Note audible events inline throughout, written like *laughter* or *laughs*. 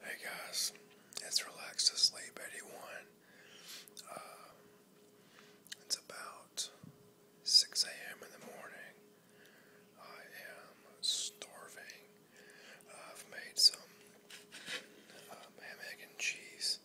Hey guys, it's Relax to Sleep 81. Um, it's about 6 a.m. in the morning. I am starving. I've made some um, ham, and cheese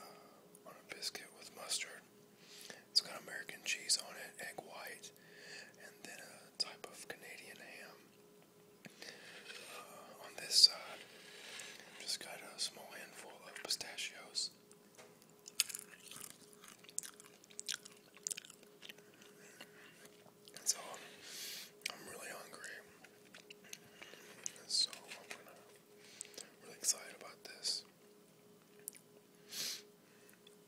uh, on a biscuit with mustard. It's got American cheese on it, egg white, and then a type of Canadian ham. Uh, on this side, i just got a small handful of pistachios. And so I'm, really hungry. so I'm really excited about this.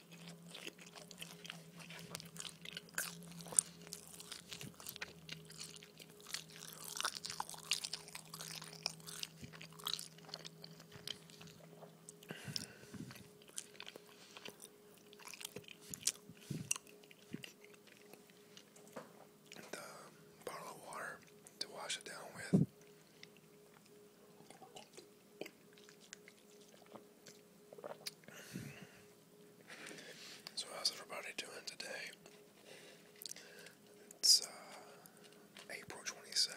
The bottle of water to wash it down with. So, how's everybody doing today? It's uh, April 22nd.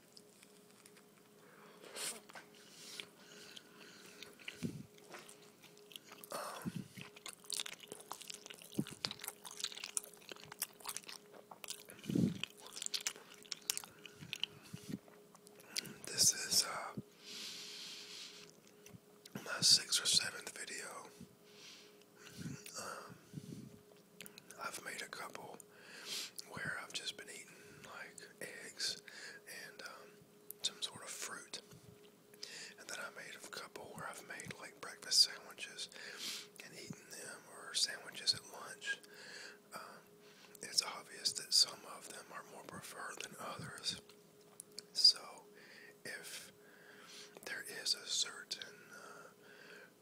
This is uh, my sixth or seventh video. Um, I've made a couple where I've just been eating like eggs and um, some sort of fruit. And then I made a couple where I've made like breakfast sandwiches and eaten them, or sandwiches at lunch. Um, it's obvious that some of them are more preferred than others. So, if there is a certain uh,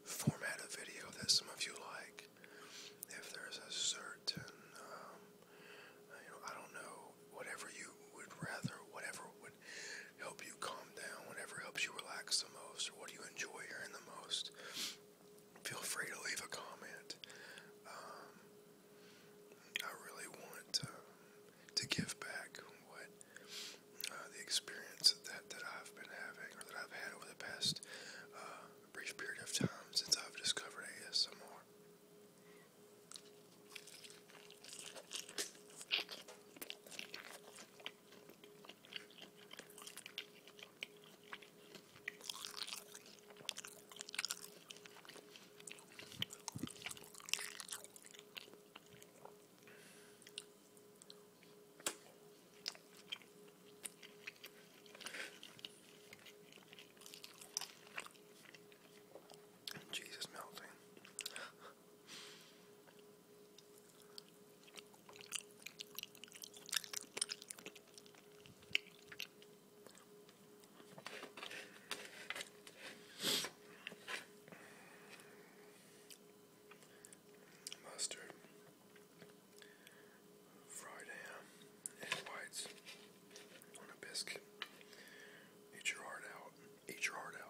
format of video that some of you like, if there's a certain, um, you know, I don't know, whatever you would rather, whatever would help you calm down, whatever helps you relax the most, or what do you enjoy hearing the most, feel free to leave a comment. Um, I really want uh, to give back what uh, the experience that, that I've been having or that I've had over the past uh, a brief period of time since I've discovered ASMR. Jesus melting. Mustard. Fried ham um, and whites on a biscuit. Eat your heart out. Eat your heart out.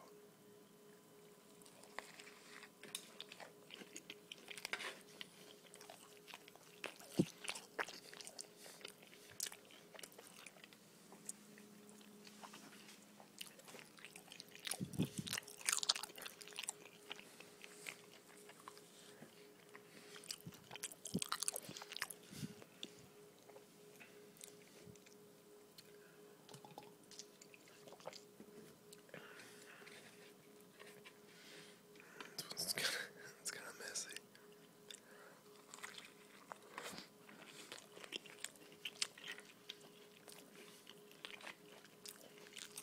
It's kind of it's kind of messy.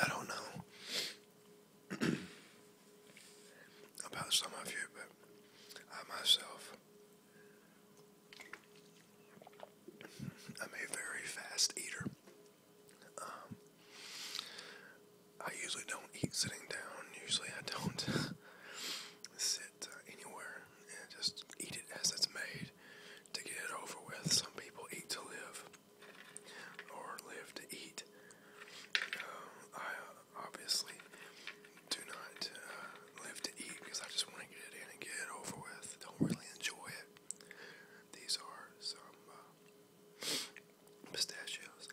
I don't know *clears throat* about some of you, but I myself I'm a very fast eater. Um, I usually don't eat sitting down. Usually I don't *laughs* sit uh, anywhere and just eat it as it's made to get it over with. Some people eat to live or live to eat. Um, I uh, obviously do not uh, live to eat because I just want to get it in and get it over with. Don't really enjoy it. These are some pistachios.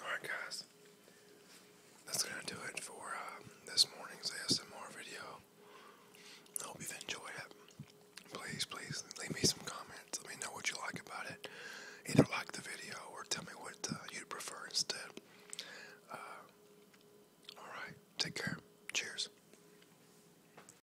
Alright, guys, that's going to do it for um, this morning's ASMR video. I hope you've enjoyed it. Please, please leave me some comments. Let me know what you like about it. Either like the video or tell me what uh, you'd prefer instead. Uh, Alright, take care. Cheers.